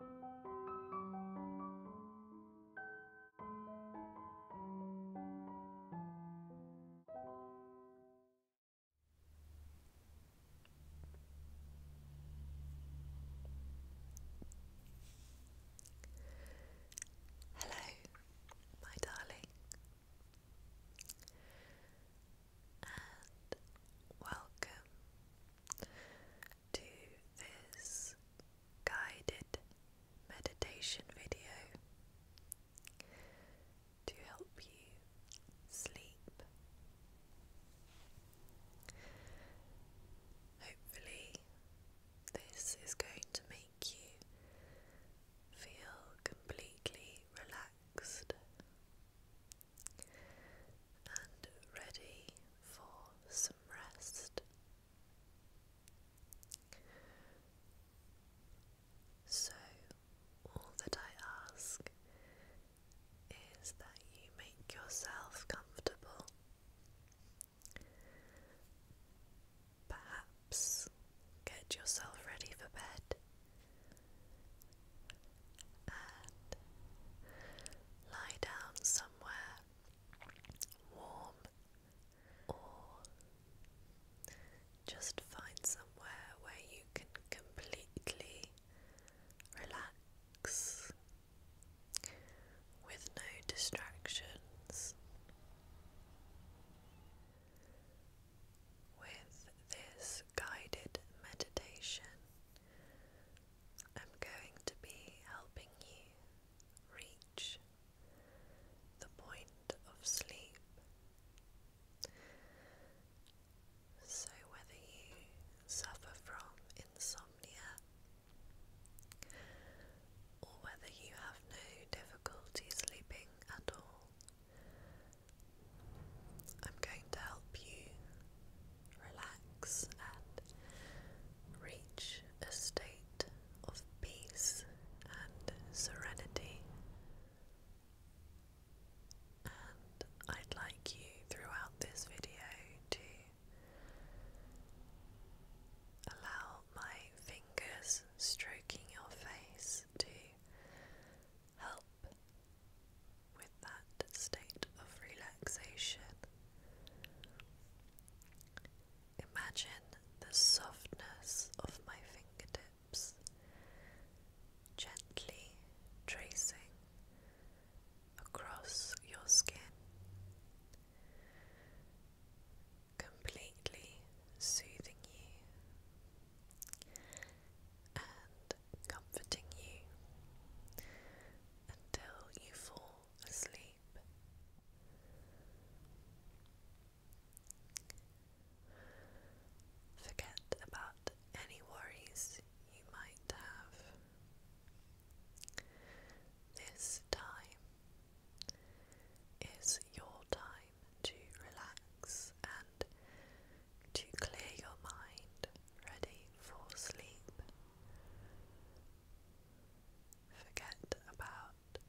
Hello, my darling, and welcome to this guided meditation video to help you sleep. Hopefully, this is going to make you feel completely relaxed and ready for some rest. So, all that I ask is that you make yourself comfortable. Perhaps get yourself ready for bed and lie down warm or just find somewhere where you can completely relax with no distractions. With this guided meditation, I'm going to be helping you reach the point of sleep. So, whether you suffer from insomnia or whether you have no difficulty sleeping at all, I'm going to help you relax, and reach a state of peace and serenity. And I'd like you throughout this video to allow my fingers stroking your face to help with that state of relaxation. Imagine the softness of my fingertips gently tracing across your skin, completely soothing you and comforting you until you fall asleep. Forget about any worries you might have. This time is your time to relax and to clear your mind, ready for sleep. Forget about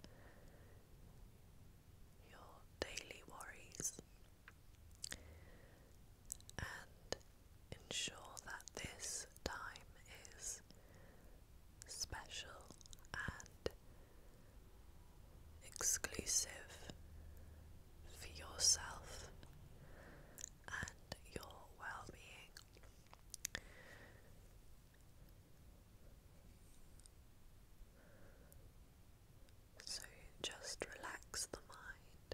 your daily worries and ensure that this time is special and exclusive for yourself and your well being. So just relax the mind.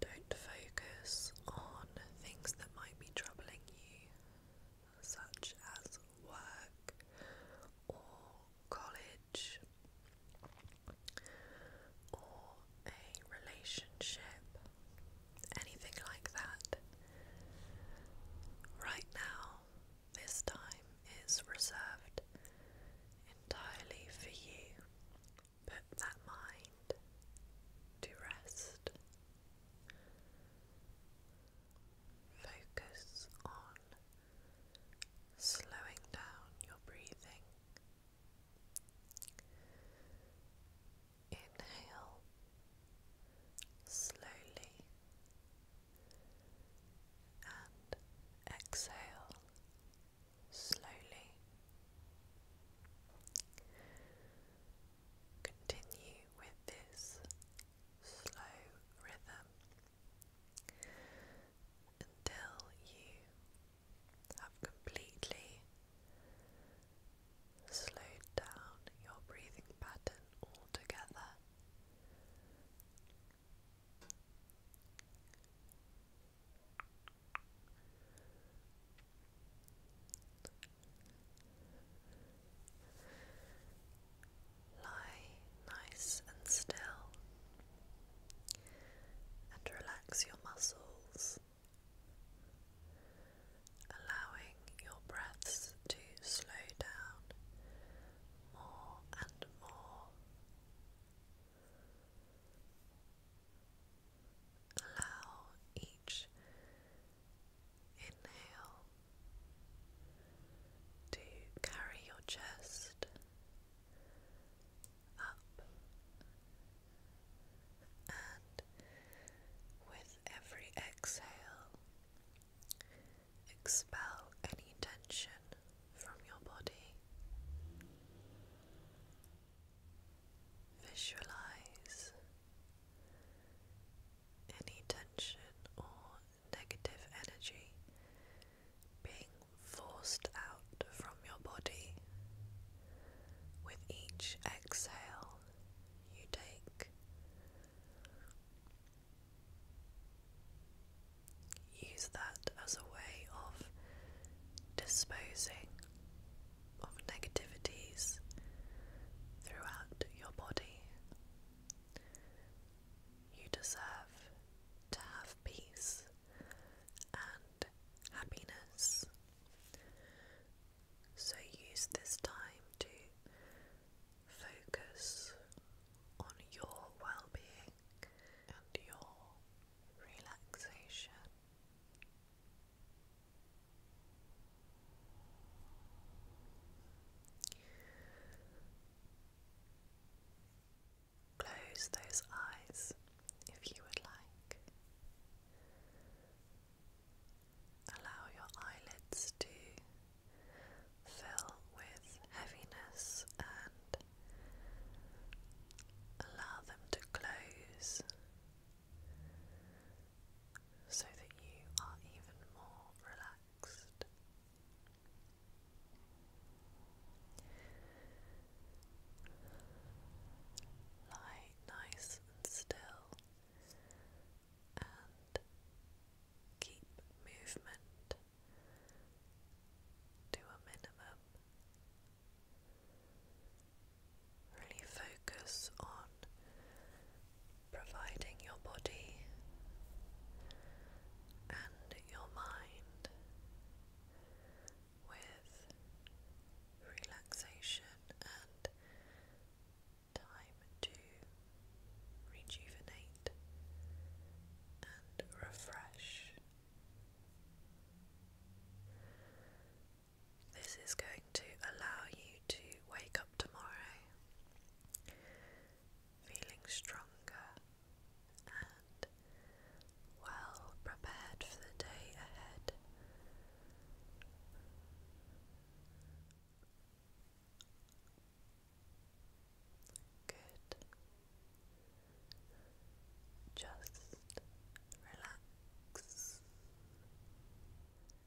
Don't focus on things that might be troubling you, such as work or college or a relationship, anything like that. Right now, this time is reserved entirely for you. Put that mind to rest. Focus on slowing down your breathing Inhale slowly and exhale slowly. Continue with this slow rhythm until you have completely slowed down your breathing pattern altogether. Lie nice and still and relax your muscles allowing your breaths to slow down more and more. Allow each inhale to carry your chest up and with every exhale, expel any tension from your body. Visualize any tension or negative energy being forced out from your body. With each exhale, you take. Use that as a way of disposing of negativities throughout your body. You deserve to have peace and happiness so use this time to focus on your well being and your relaxation. Close those eyes if you would like. Allow your eyelids to fill with heaviness and allow them to close so that you are even more relaxed. Lie nice and still and keep movement to a minimum. Really focus on providing your body and your mind with relaxation and time to rejuvenate and refresh. This is going to allow you to wake up tomorrow feeling stronger and well prepared for the day ahead. Good. Just relax.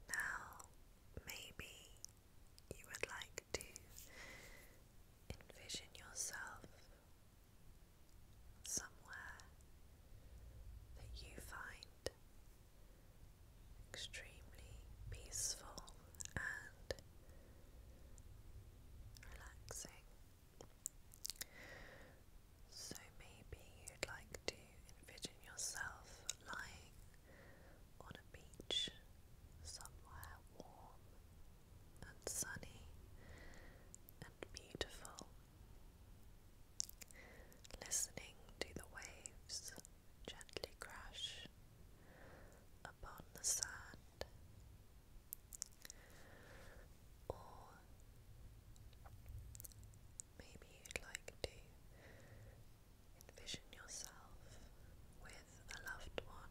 Now, maybe you would like to envision yourself somewhere that you find extremely peaceful and relaxing. So maybe you'd like to envision yourself lying on a beach somewhere warm and sunny and beautiful listening to the waves gently crash upon the sand, or maybe you'd like to envision yourself with a loved one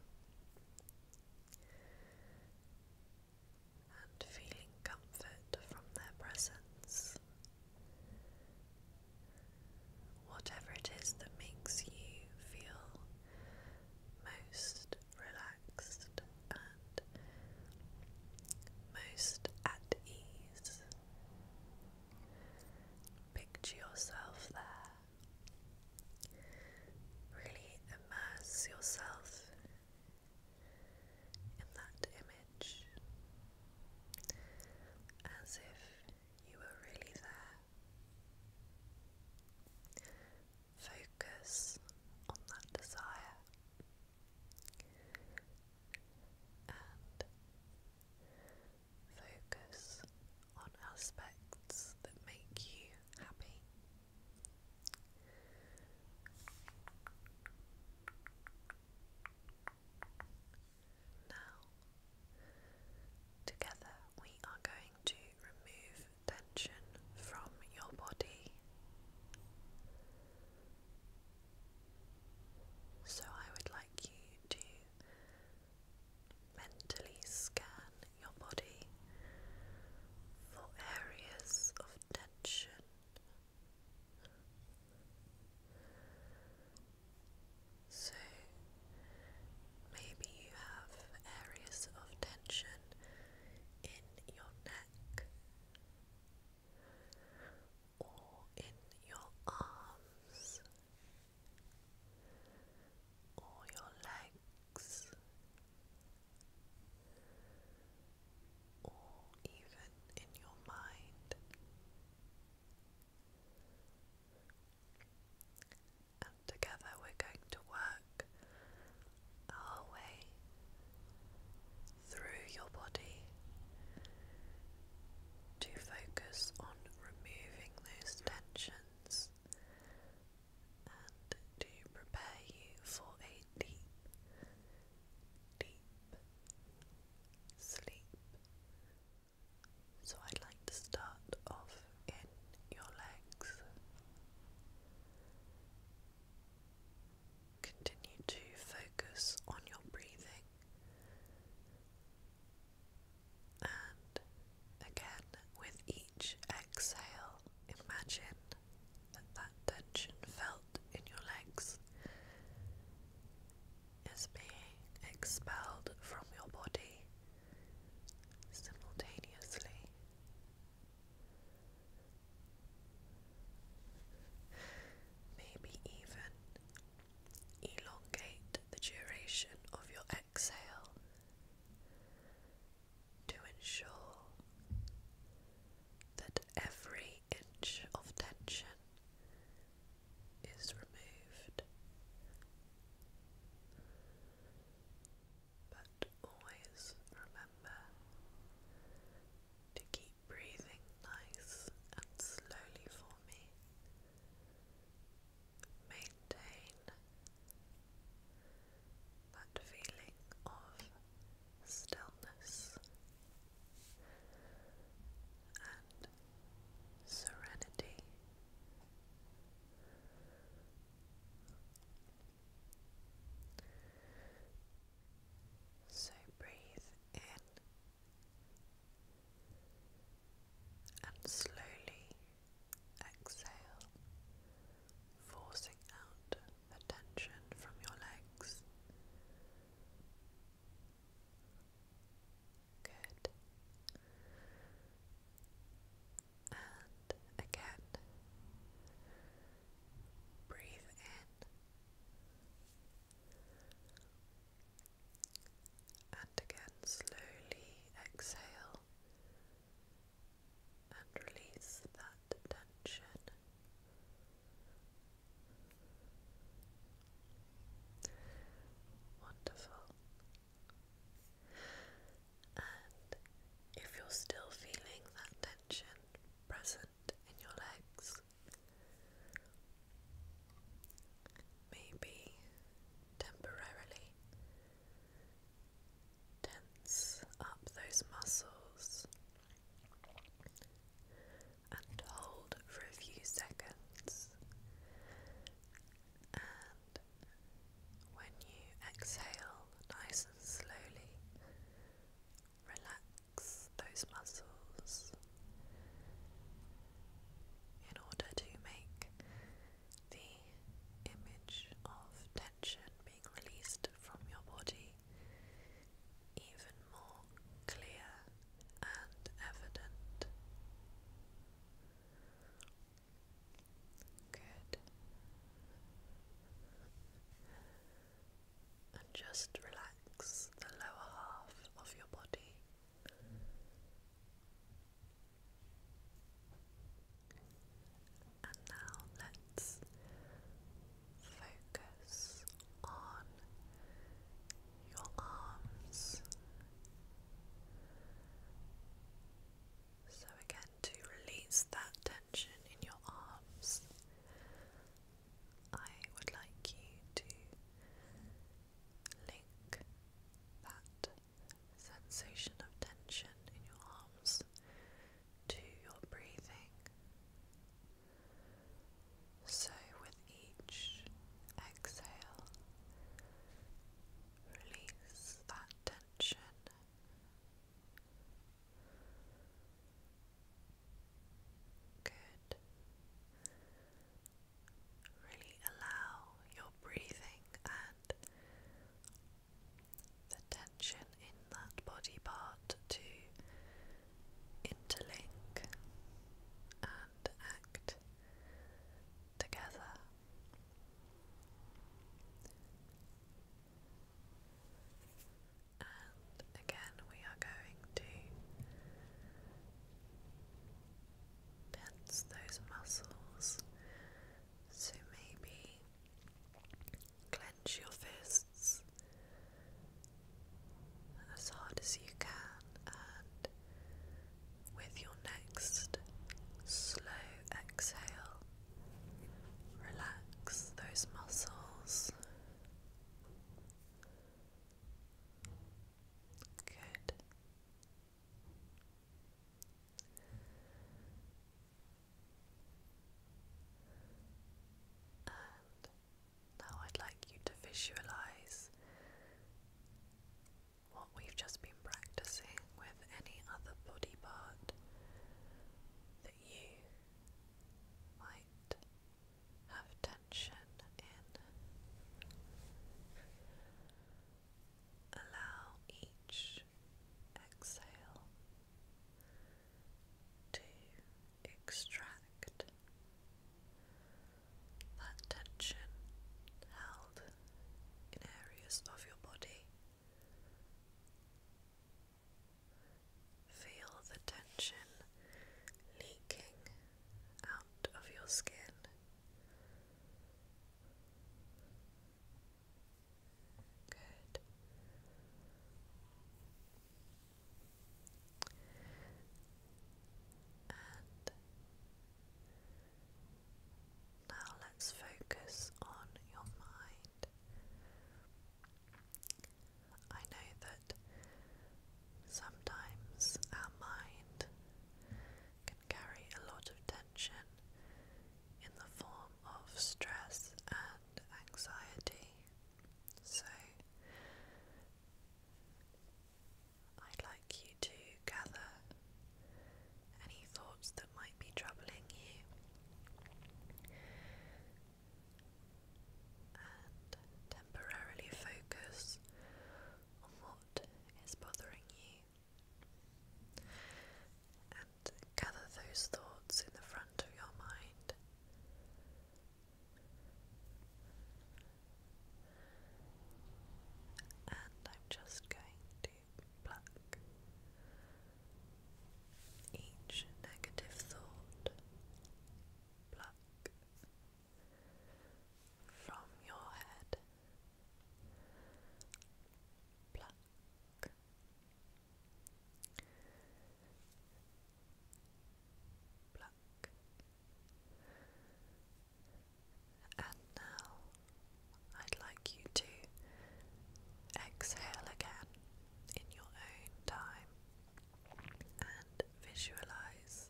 and feeling comfort from their presence. Whatever it is that makes you feel most relaxed and most at ease, picture yourself there. Really immerse yourself in that image, as if you were really there. Focus on that desire and focus on aspects that make you happy. Now, together we are going to remove tension from your body. So, I would like you to mentally scan your body for areas of tension so maybe you have areas of tension in your neck or in your arms or your legs or even in your mind. And together we're going to work our way through your body to focus on removing those tensions and to prepare you for a deep deep sleep. So I'd like to start off in your legs. Continue to focus on your breathing. And again, with each exhale, imagine that that tension felt in your legs is being expelled from your body simultaneously. Maybe even elongate the duration of your exhale to ensure that every inch of tension is removed, but always remember to keep breathing nice and slowly for me. Maintain that feeling of stillness and serenity. So breathe in and slowly exhale, forcing out the from your legs. Good. And again, breathe in and again, slowly exhale and release that tension. Wonderful. And if you're still feeling that tension present in your legs, maybe temporarily tense up those muscles and hold for a few seconds. And when you exhale nice and slowly, relax those muscles in order to make the image of tension being released from your body even more clear and evident. Good. And just relax the lower half of your body. And now let's focus on your arms. So, again, to release that tension in your arms, I would like you to link that sensation of tension in your arms to your breathing. So, with each exhale, release that tension. Good. Really allow your breathing and the tension in that body part to interlink and act together. And again, we are going to tense those muscles. So maybe Clench your fists as hard as you can, and with your next slow exhale, relax those muscles. Good. And now I'd like you to visualize what we've just been practicing with any other body part that you might have tension in. Allow each exhale to extract that tension held in areas of your body. Feel the tension leaking out of your skin. Good now let's focus on your mind. I know that sometimes our mind can carry a lot of tension in the form of stress and anxiety. So I'd like you to gather any thoughts that might be troubling you and temporarily focus on what is bothering you and gather those thoughts in the front of your mind and I'm just going to pluck each negative thought, pluck from your head, pluck. And now I'd like you to exhale again in your own time and visualize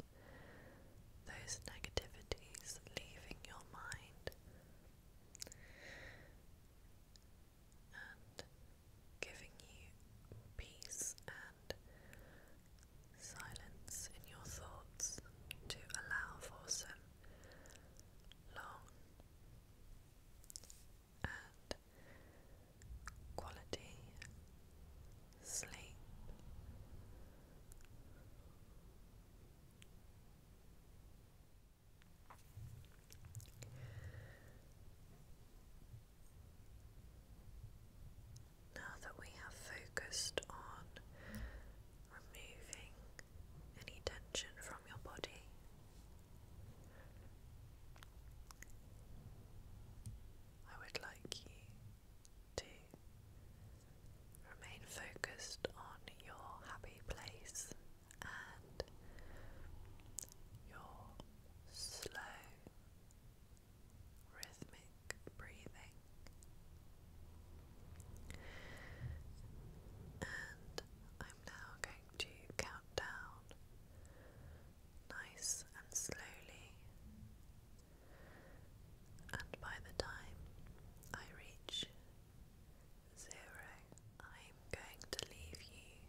those negativities leaving your mind and giving you peace and silence in your thoughts to allow for some long and quality sleep. Now that we have focused on removing any tension from your body, I would like you to remain focused on your happy place and your slow, rhythmic breathing. And I'm now going to count down nice and slowly. And by the time I reach zero, I'm going to leave you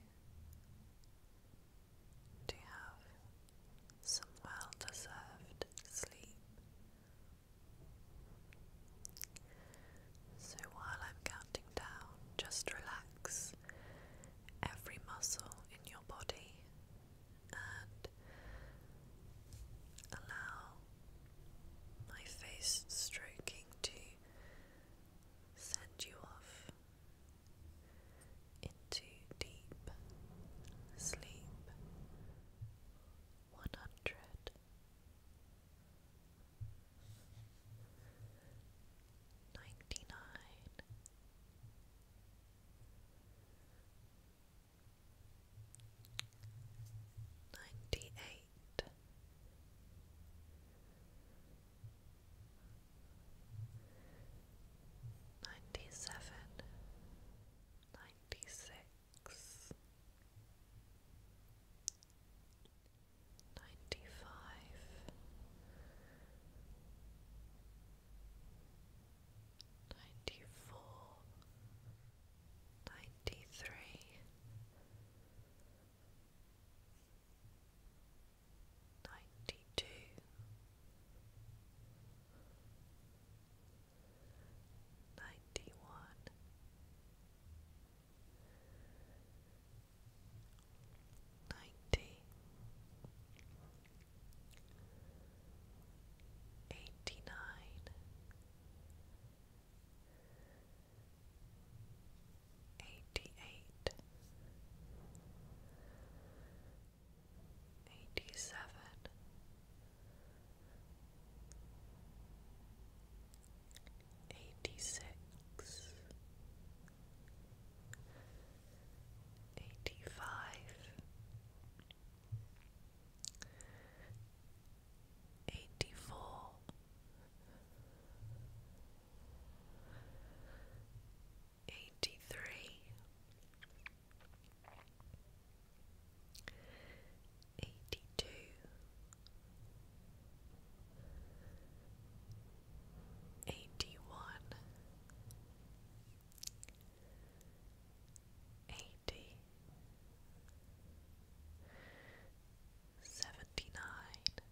to have some well deserved sleep. So while I'm counting down, just relax every muscle in your body and allow my face stroking to send you off into deep sleep. One hundred ninety Ninety-seven, ninety-six, ninety-five, ninety-four, ninety-three ninety two ninety one ninety eighty nine eighty eight eighty seven, eighty six, eighty five, eighty four eighty three, eighty two, eighty one, eighty, seventy nine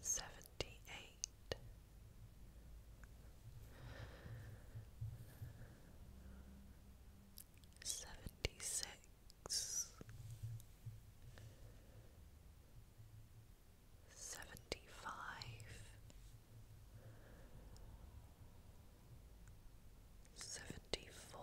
seventy eight, seventy six, seventy five, seventy four.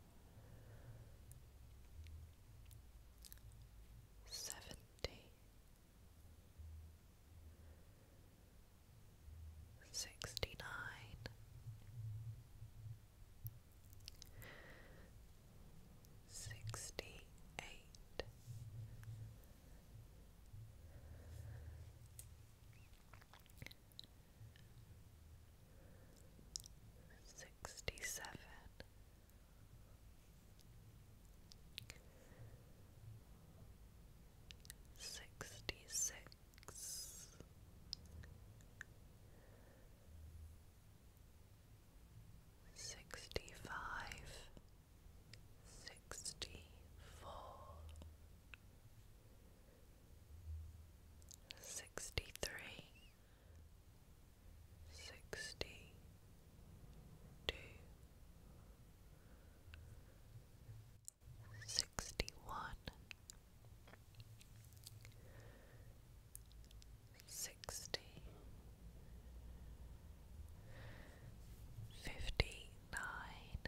seventy sixty nine sixty eight sixty seven. Sixty six, sixty five, sixty four, sixty three, sixty two sixty one sixty fifty nine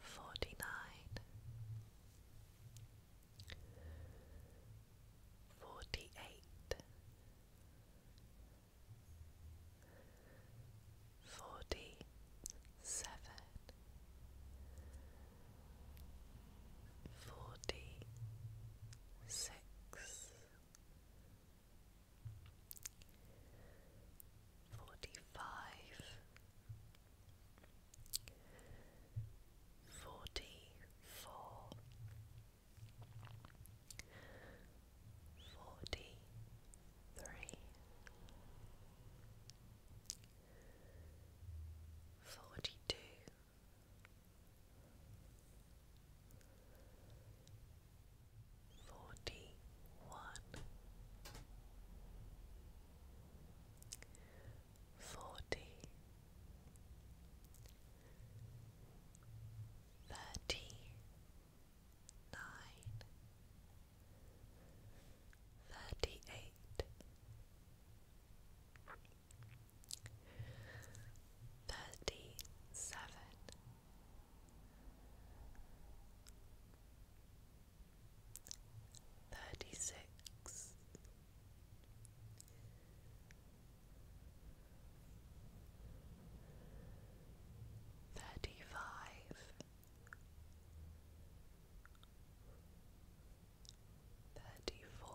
forty nine, forty eight, forty seven, forty six forty five, forty four, forty three, forty two. Forty one, forty, thirty nine, thirty eight thirty seven. Thirty six, thirty five, thirty four,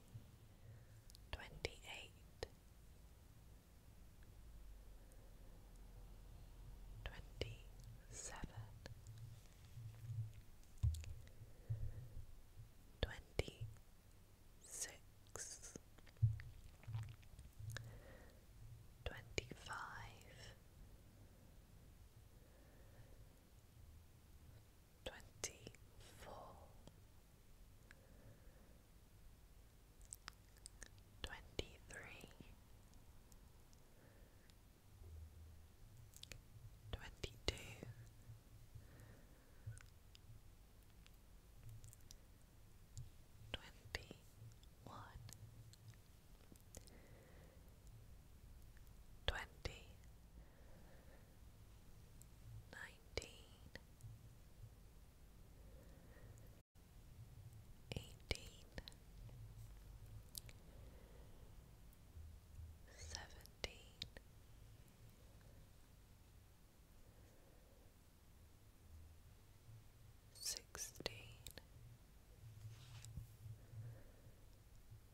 twenty eight, twenty seven, twenty six, twenty five twenty-four, twenty-three, twenty-two, twenty-one, twenty nineteen, eighteen, seventeen. Sixteen,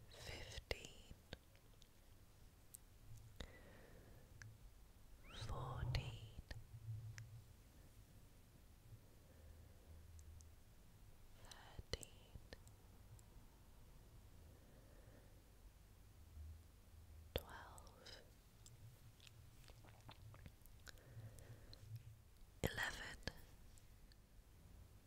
fifteen, fourteen, thirteen, twelve, eleven